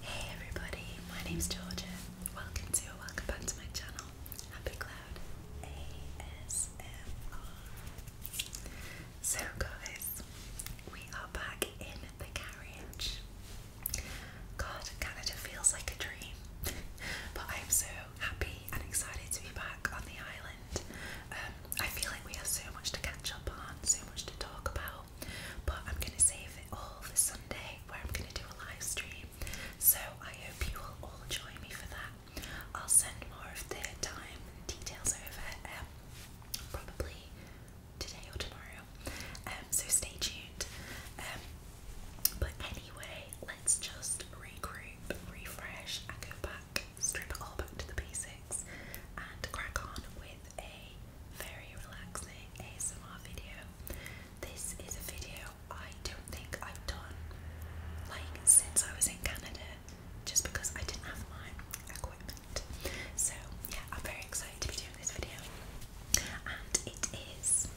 Hey everybody, my name's Georgia. Welcome to or welcome back to my channel, Happy Cloud ASMR. So guys, we are back in the carriage. God, Canada feels like a dream, but I'm so happy and excited to be back on the island. Um, I feel like we have so much to catch up on, so much to talk about but I'm going to save it all for Sunday where I'm going to do a live stream. So I hope you will all join me for that. I'll send more of the time and details over um, probably today or tomorrow. Um, so stay tuned. Um, but anyway, let's just regroup, refresh, go back, strip it all back to the basics, and crack on with a very relaxing ASMR video. This is a video I don't think I've done like since I was in Canada just because I didn't have my equipment. So yeah, I'm very excited to be doing this video. And it is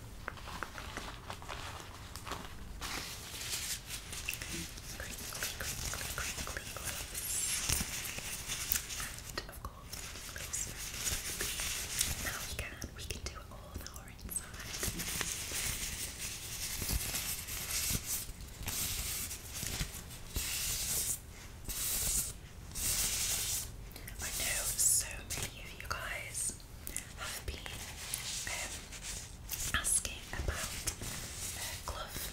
all I know so many of you guys have been um, asking about uh, glove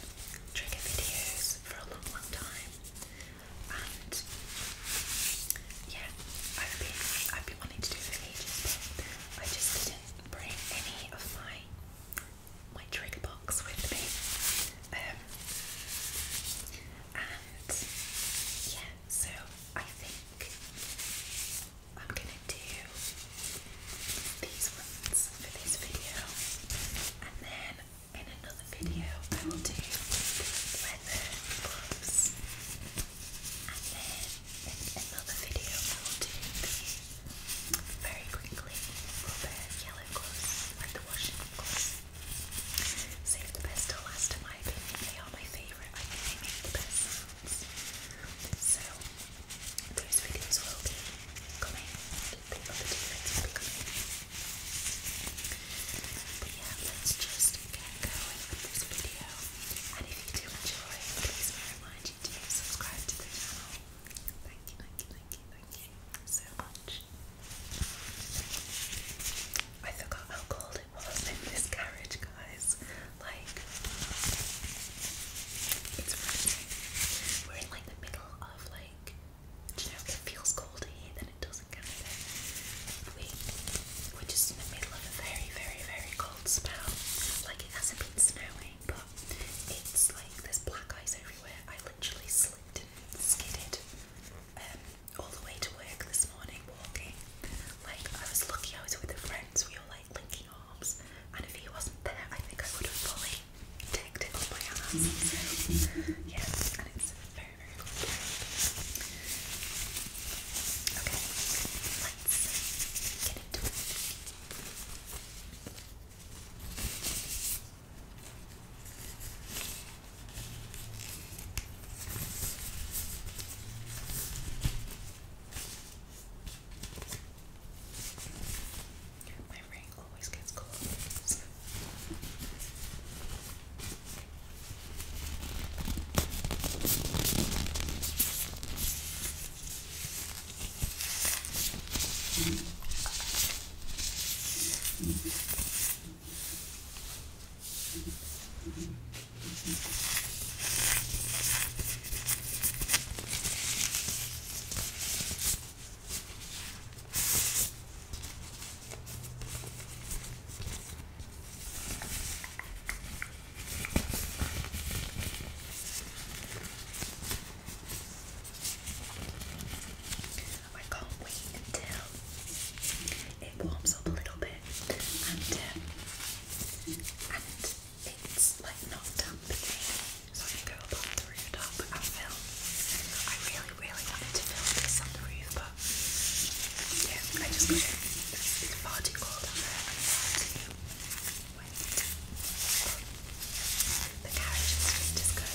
trigger videos for a long time, yeah, I've been I've been wanting to do for ages, but I just didn't bring any of my my trigger box with me. Um, and yeah, so I think I'm gonna do these ones for this video, and then in another video I will do leather gloves and then in another video I will do the very quickly rubber yellow gloves like the washing gloves save the best till last in my opinion they are my favourite I they make the best sounds so those videos will be coming yeah, let's just get going with this video. And if you do enjoy, please remind you to subscribe to the channel. Thank you, thank you, thank you, thank you so much. I forgot how cold it was in this carriage, guys. Like, it's We're in like the middle of like you know, it feels colder here than it does in Canada. We, we're just in the middle of a very, very, very cold spell. Like, it hasn't been snowing, but it's like there's black ice everywhere. I literally slipped and skidded um, all the way to work this morning walking. Like, I was lucky I was with a friend, so we were like linking arms, and if he wasn't there, I think I would have fully tagged it on my and it's very, very cool. Okay, let's get into it my ring always gets cold. So. Mm-hmm. I can't wait until it warms up a little bit and um, it's like not damp so I go up the rooftop and film. I really, really wanted to film this on the roof, but yeah, I just It's far cold The carriage is just good.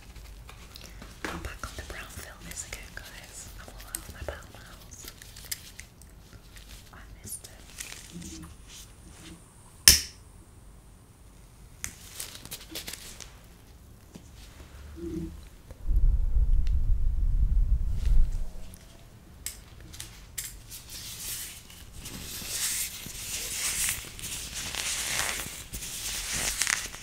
I'm back on the brown filmies again, guys. I'm all out of my brown house. I missed it.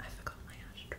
I forgot my ashtray.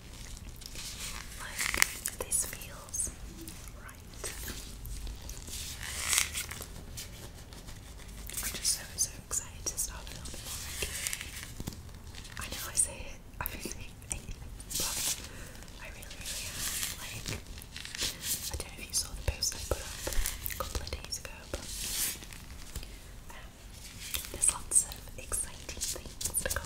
this feels right. I'm just so, so excited to start a little bit more I know I say it every but I really, really am. Like, I don't know if you saw the post I put up a couple of days ago, but um, there's lots of exciting things to come.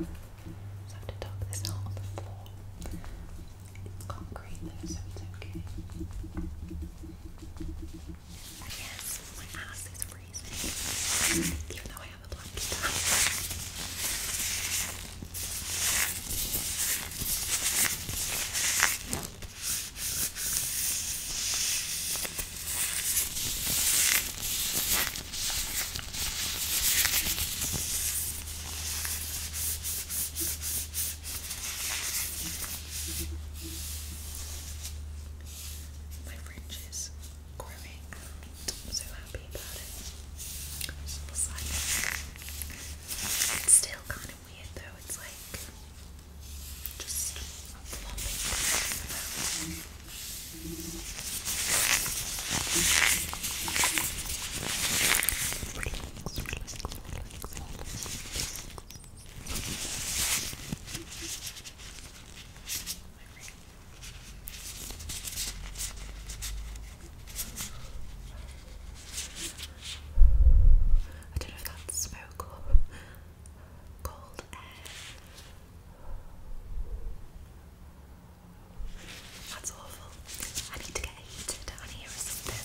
Just have to talk this out on the floor. It's concrete though, so it's okay. And yes, my ass is freezing. Even though I have a blanket down. My fringe is growing out. I'm so happy about it. It's, like, it's still kind of weird though. It's like just flopping. I don't know if that's so cool. Cold air. That's awful. I need to get heated down here or something.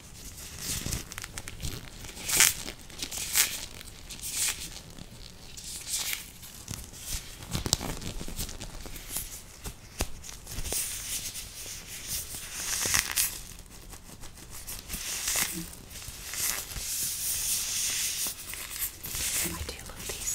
I do love these.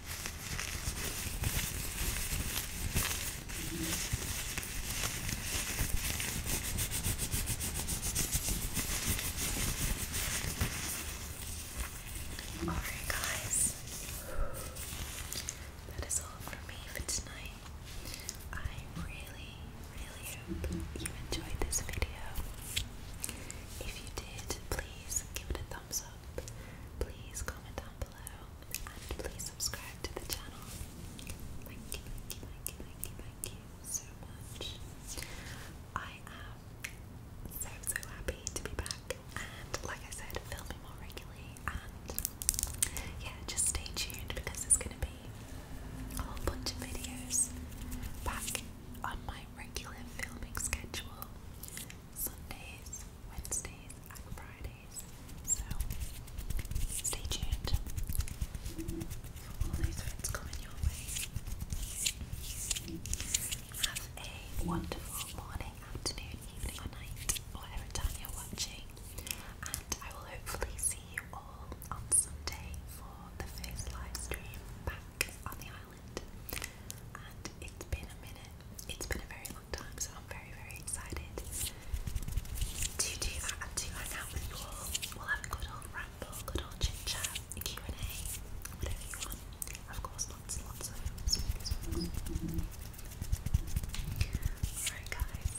All right, guys, that is all for me for tonight. I really, really hope you enjoyed this video. If you did, please give it a thumbs up. Please comment down below and please subscribe to the channel. Thank you, thank you, thank you, thank you, thank you so much. I am so, so happy to be back and, like I said, filming more regularly. And yeah, just stay tuned because there's going to be a whole bunch of videos back on my regular filming schedule. Sundays, Wednesdays, and Fridays. So stay tuned for all those things coming your way. Have a wonderful morning, afternoon, evening, or night, whatever time you're watching. And I will hopefully see you all on Sunday for the first live stream back on the island. And it's been a minute, it's been a very long so I'm very, very excited to do that and to hang out with you all. We'll have a good old ramble, good old chit chat, a Q and A, whatever you want. Of course, lots and lots of sweets. Alright, guys,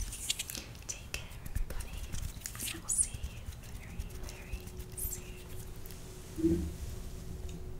take care, everybody, and I will see you very, very soon.